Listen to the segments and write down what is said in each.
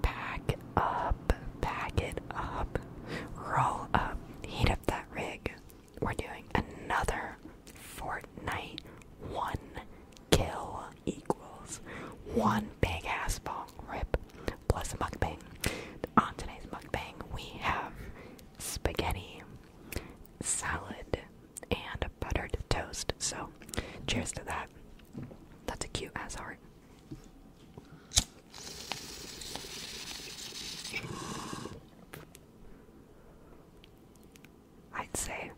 Pack up, pack it up, roll up, heat up that rig. We're doing another Fortnite one kill equals one big ass ball rip plus a mukbang. On today's mukbang, we have spaghetti, salad, and buttered toast. So, cheers to that. That's a cute ass heart. I'd say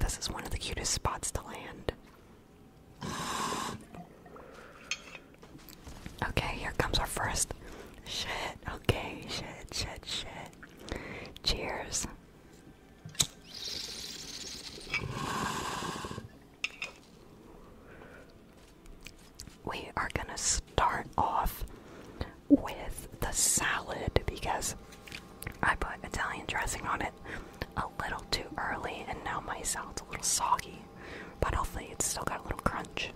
this is one of the cutest spots to land. Okay, here comes our first. Shit, okay, shit, shit, shit. Cheers. We are going to start off with the salad because I put Italian dressing on it a little too early and now my salad's a little soggy, but hopefully it's still got a little crunch.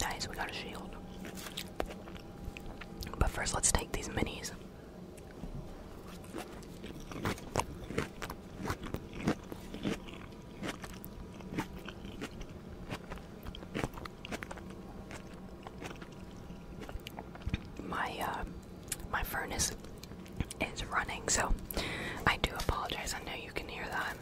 Nice, we got a shield. But first, let's take these minis. My uh, my furnace is running, so I do apologize. I know you can hear that.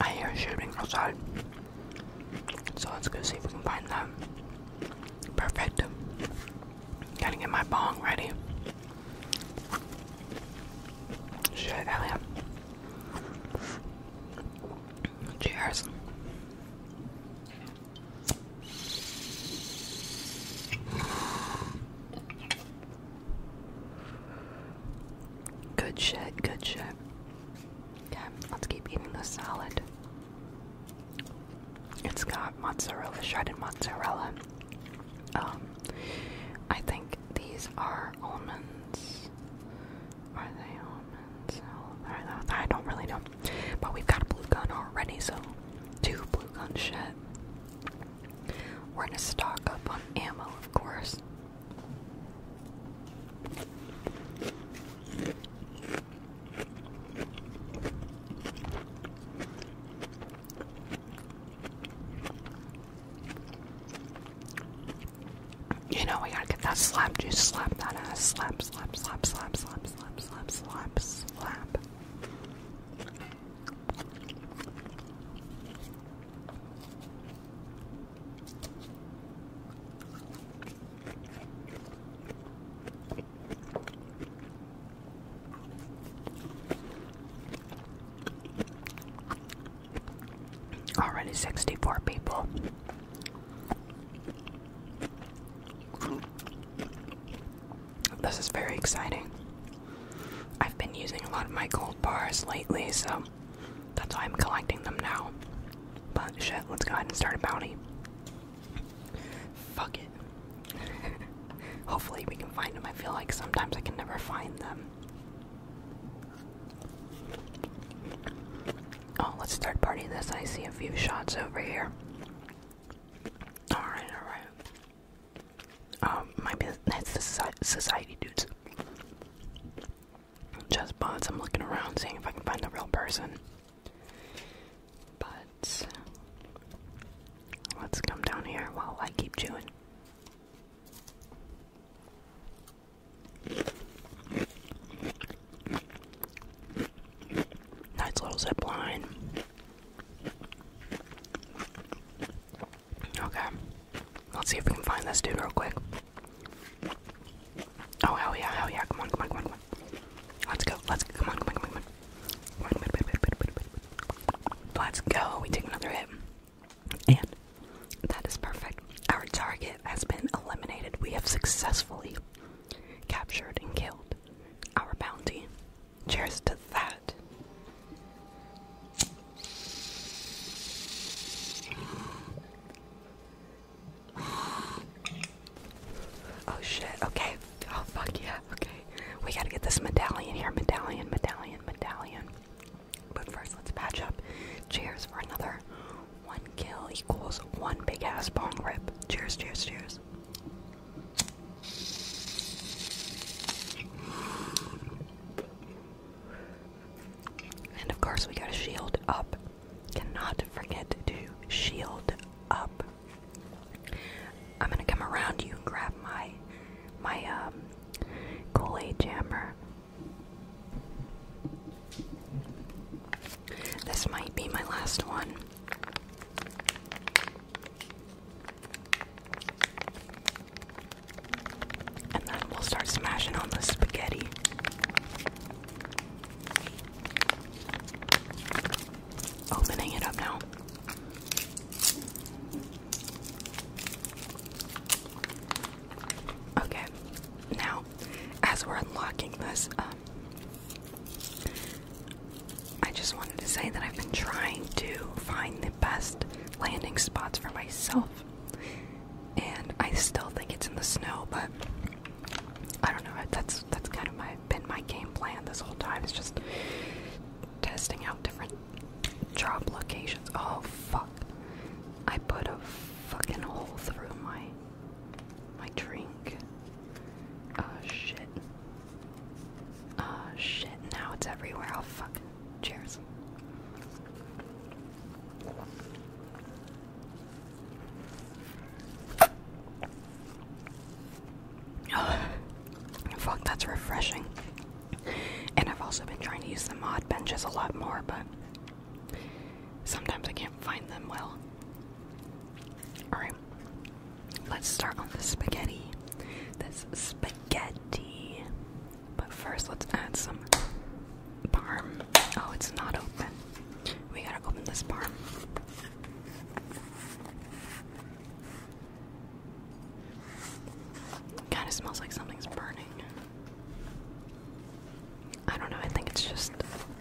I hear shooting outside, so let's go see if we can find them. Perfect. Gotta get my bong ready. Shit, Elliot. Cheers. Good shit, good shit. Okay, let's keep eating the salad. It's got mozzarella, shredded mozzarella. Um, I think these are almonds. Are they diamonds. I don't really know. But we've got a blue gun already, so two blue gun shit. We're gonna stock up on ammo, of course. You know, we gotta get that slap juice, slap that ass, slap, slap, slap, slap, slap, slap, slap, slap, slap. Already 64 people. This is very exciting. I've been using a lot of my gold bars lately, so that's why I'm collecting them now. But shit, let's go ahead and start a bounty. Fuck it. Hopefully, we can find them. I feel like sometimes I can never find them. Oh, let's start partying. this. I see a few shots over here. Alright, alright. Um, might be that's the society dudes. Just bots. I'm looking around seeing if I can find the real person. But let's come down here while I keep chewing. Nice little zip line. Okay. Let's see if we can find this dude real quick. Oh hell yeah, hell yeah, come on, come on, come on, come on. Let's go, let's go, come on, come on, come on, come on. Let's go, we take another hit. And that is perfect. Our target has been eliminated. We have successfully captured and killed. Our bounty. Cheers to that. Oh shit, okay. Oh fuck yeah, okay. We gotta get this medallion here. Medallion, medallion, medallion. But first, let's patch up. Cheers for another one kill equals one big ass bong rip. Cheers, cheers, cheers. And of course, we gotta shield up. Cannot forget to shield up. I'm gonna come around you and grab my my um kool jammer. This might be my last one. And then we'll start smashing on the spaghetti. Opening it up now. Okay, now as we're unlocking this, um, I just wanted to say that I've been trying to find the best landing spots for myself. And I still think it's in the snow, but I don't know. That's that's kind of my been my game plan this whole time. It's just testing out different drop locations. Oh fuck! I put a fucking hole through my my drink. Oh shit. Oh shit, now it's everywhere. I'll oh, fuck. Cheers. Fuck, that's refreshing. And I've also been trying to use the mod benches a lot more, but sometimes I can't find them well. Alright, let's start on the spaghetti. This spaghetti. But first, let's add some parm. Oh, it's not open. We gotta open this parm. Kind of smells like something's burning. I don't know, I think it's just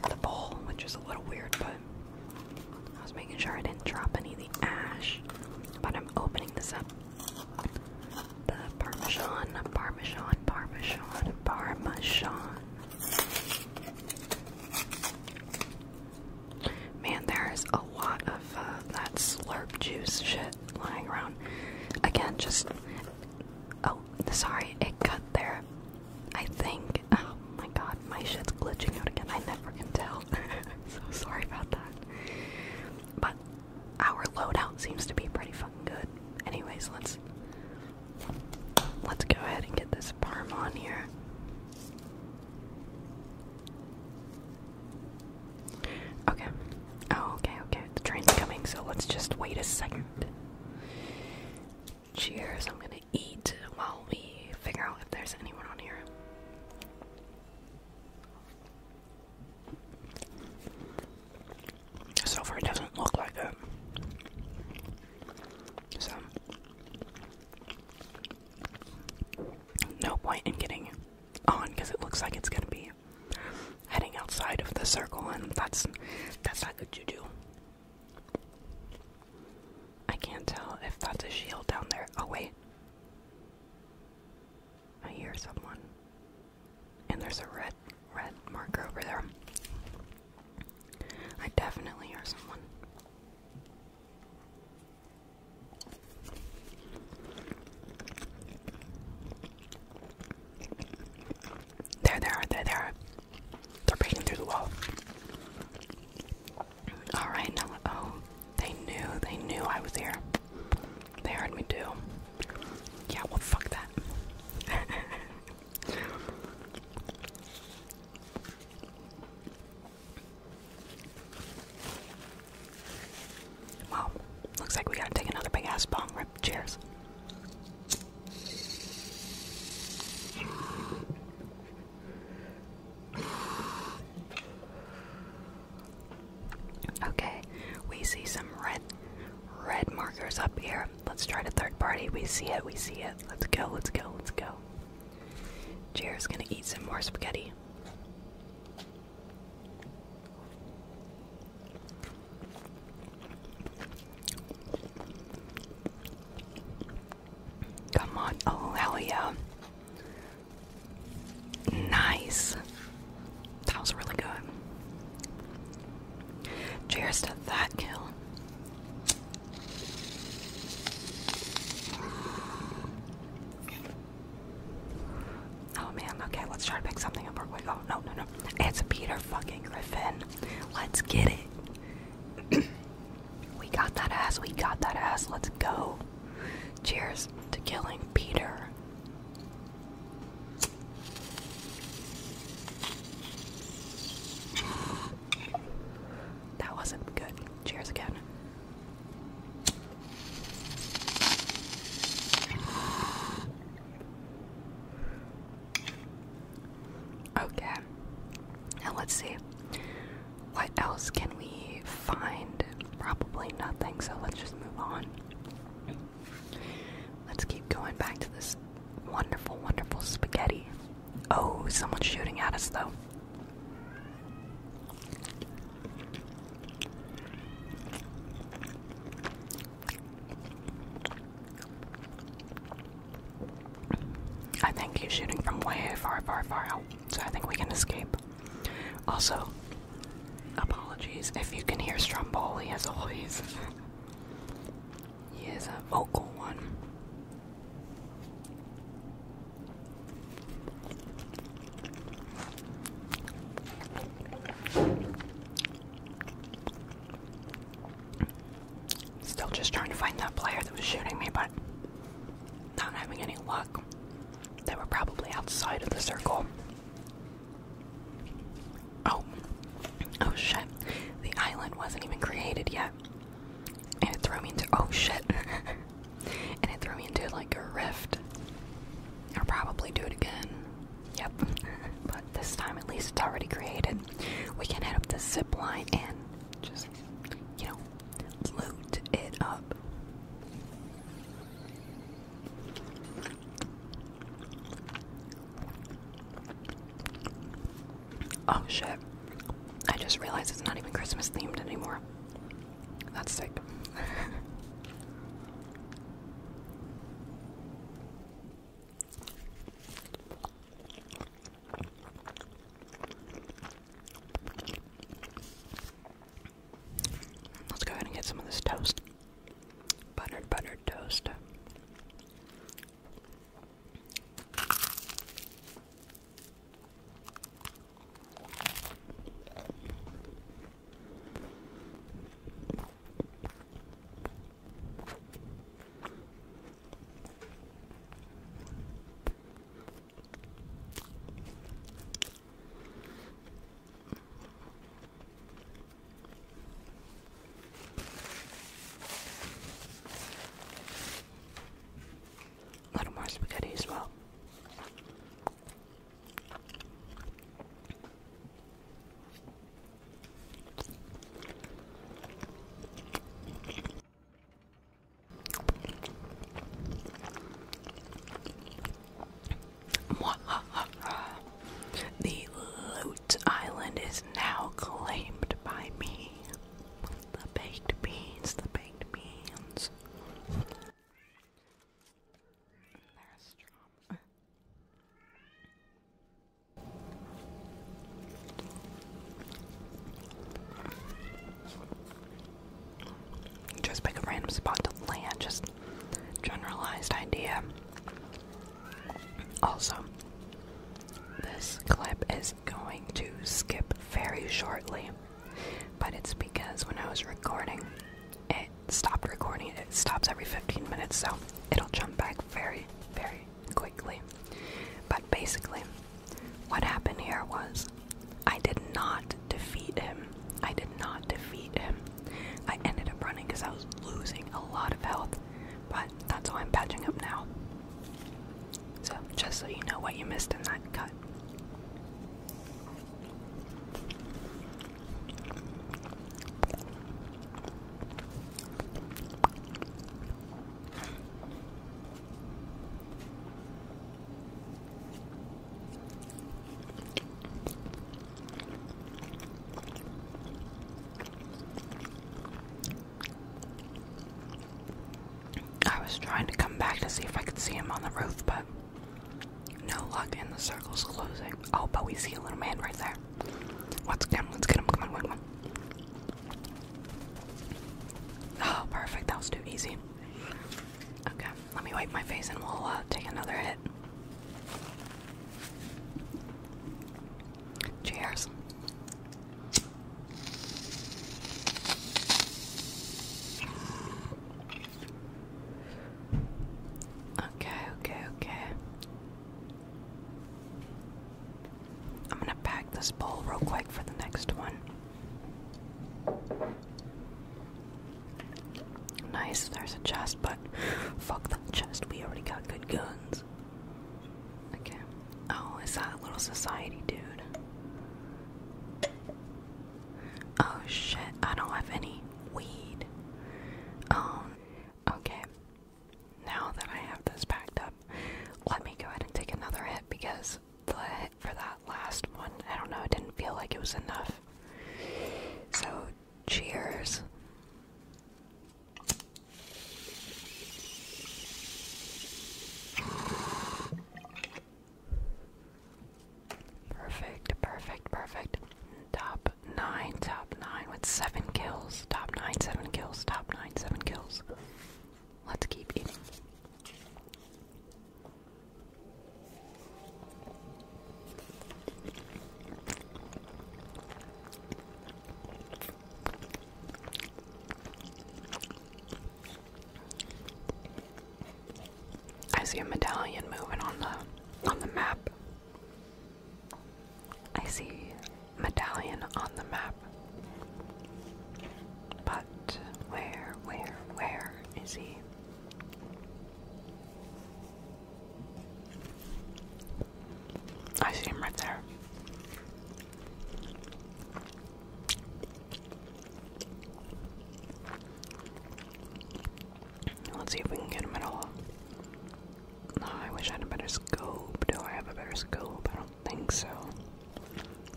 the bowl, which is a little weird, but I was making sure I didn't drop any of the ash. But I'm opening this up. The parmesan, parmesan, parmesan, parmesan. Man, there's a lot of uh, that slurp juice shit lying around. Again, just a sorry, it cut there. I think. Oh my god, my shit's glitching out again. I never can tell. so sorry about that. But our loadout seems to be pretty fucking good. Anyways, let's let's go ahead and get this parm on here. Okay. Oh, okay, okay. The train's coming, so let's just wait a second. Cheers. I'm gonna eat while we figure out if there's anyone on here. So far, it doesn't look like it. So, no point in getting on because it looks like it's gonna be heading outside of the circle, and that's that's not good to do. I can't tell if that's a shield down there. Oh, wait. I hear someone. And there's a red, red marker over there. I definitely hear someone. There they are, there they are. They're breaking through the wall. Alright, now, oh, they knew, they knew I was here. They heard me too. Yeah, well, fuck that. well, looks like we gotta take another big ass bong, Cheers. Okay, we see some red red markers up here. Let's try the third party. We see it, we see it. Let's go, let's go, let's go. Cheers. gonna eat some more spaghetti. Come on, Aurelia. Oh, nice. That was really good. Cheers to that kill. Oh man, okay, let's try to pick something up real quick. Oh, no, no, no. It's Peter fucking Griffin. Let's get it. we got that ass. We got that ass. Let's go. Cheers to killing Peter. That wasn't good. Cheers again. Okay. Now let's see. What else can we find? Probably nothing, so let's just move on. Let's keep going back to this wonderful, wonderful spaghetti. Oh, someone's shooting at us though. I think he's shooting from way far, far, far out, so I think we can escape. Also, apologies if you can hear Stromboli as always. he is a vocal one. Still just trying to find that player that was shooting me, but not having any luck. They were probably outside of the circle. Oh. Oh shit. The island wasn't even created yet. And it threw me into. Oh shit. and it threw me into like a rift. I'll probably do it again. Yep, but this time at least it's already created. We can head up the zip line and just, you know, loot it up. Oh shit. I just realized it's not even Christmas themed anymore. That's sick. Let's go ahead and get some of this toast. Buttered, buttered toast. A little more spaghetti as well. The Loot Island is now claimed by me. The baked beans, the baked beans. Just pick a random spot to land, just generalized idea. Also, this clip is going to skip very shortly, but it's because when I was recording, it stopped recording. It stops every 15 minutes, so it'll jump back very, very quickly. But basically, what happened here was I did not defeat him. I did not defeat him. I ended up running because I was losing a lot of health, but that's why I'm patching up now. So, just so you know what you missed in that cut. I was trying to come back to see if I could see him on the roof, but no luck, and the circle's closing. Oh, but we see a little man right there. Let's get him, let's get him, come on, one, one. Oh, perfect, that was too easy. Okay, let me wipe my face and we'll uh, take another hit. Cheers. Okay, okay, okay. I'm gonna pack this bowl real quick for the next one. Nice, there's a chest, but fuck that chest, we already got good guns. Okay. Oh, is that a little society dude? Oh shit, I don't have any weed. Oh, okay, now that I have this packed up, let me go ahead and take another hit because the hit for that last one, I don't know, it didn't feel like it was enough. So, cheers. Perfect, perfect, perfect. Top nine, top nine with seven kills. Top nine, seven kills. Top nine, seven kills. Let's keep eating. I see a medallion moving on the on the map. I see medallion on the map. But where, where, where is he? I see him right there. Let's see if we can get him at all. I wish I had a better scope. Do I have a better scope? I don't think so.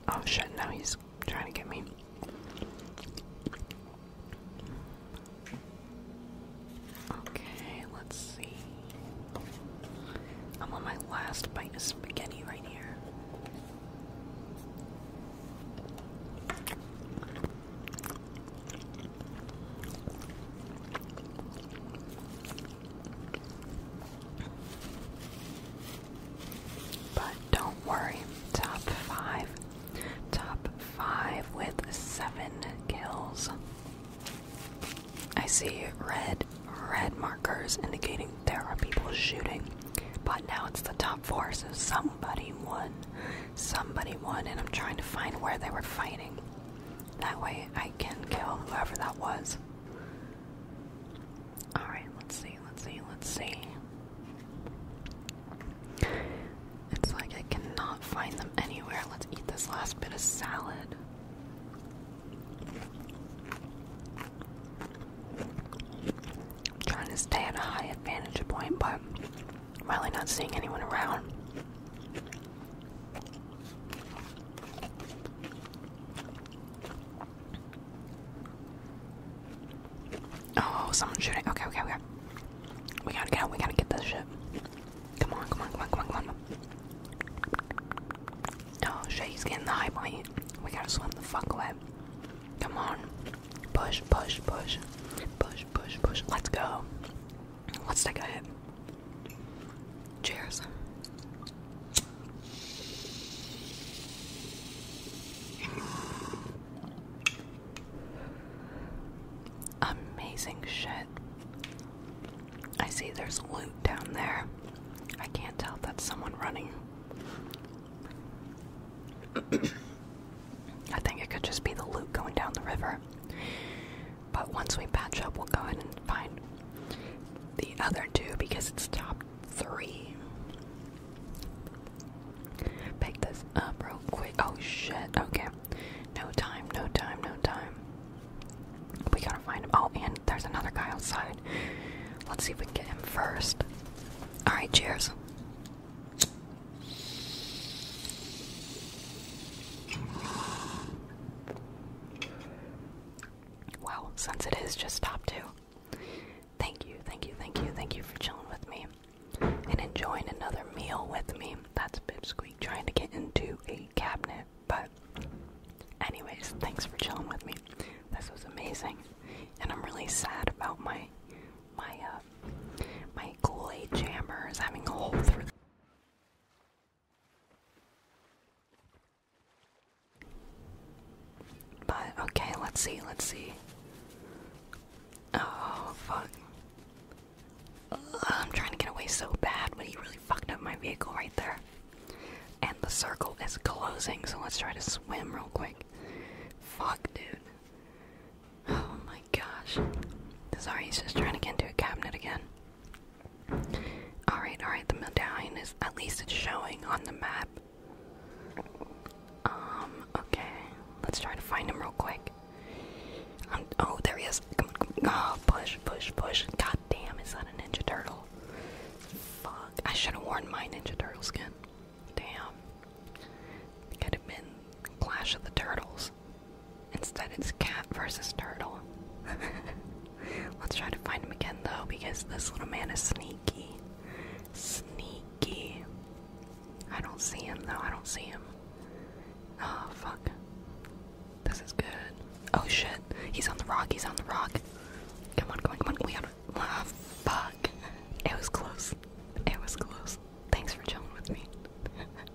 Oh shit, now he's trying to get me. Okay, let's see. I'm on my last bite of spaghetti right here. But don't worry, top five. Top five with seven kills. I see red, red markers indicating there are people shooting. But now it's the top four, so somebody won. Somebody won, and I'm trying to find where they were fighting. That way I can kill whoever that was. Alright, let's see, let's see, let's see. It's like I cannot find them anywhere. Let's eat this last bit of salad. I'm trying to stay at a high advantage point, but I'm really not seeing anyone around. Oh, someone's shooting. Okay, okay, okay. We gotta get out. We gotta get this shit. Come on, come on, come on, come on, come on. Oh shit, he's getting the high point. We gotta swim the fuck away. Come on. Push, push, push. Push, push, push. Let's go. Let's take a hit. Cheers. Amazing shit. I see there's loot down there. I can't tell that's someone running. I think it could just be the loot going down the river. But once we patch up, we'll go ahead and find the other two because it's top three. Pick this up real quick. Oh shit, okay. No time, no time, no time. We gotta find him. Oh, and there's another guy outside. Let's see if we can get him first. Alright, cheers. Well, since it is just top two, thank you, thank you, thank you, thank you for chilling with me and enjoying another meal with me. That's Pipsqueak trying to get into a cabinet, but anyways, thanks for chilling with me. This was amazing, and I'm really sad about my my uh my Kool-Aid jammer having a hole through. But okay, let's see, let's see. Oh, fuck. I'm trying to get away so bad, but he really fucked up my vehicle right there. And the circle is closing, so let's try to swim real quick. Fuck, dude. Oh my gosh. Sorry, he's just trying to get into a cabinet again. Alright, alright, the medallion is at least it's showing on the map. Um, okay. Let's try to find him real quick. Um, oh, there he is. Come on, Oh, push, push, push. God damn, is that a Ninja Turtle? Fuck. I should have worn my Ninja Turtle skin. Damn. Could have been Clash of the Turtles. Instead, it's cat versus turtle. Let's try to find him again, though, because this little man is sneaky. Sneaky. I don't see him, though. I don't see him. Oh, fuck. This is good. Oh, shit. He's on the rock. He's on the rock. Come on, come on, come on. We gotta. Ah, fuck. It was close. It was close. Thanks for joining with me.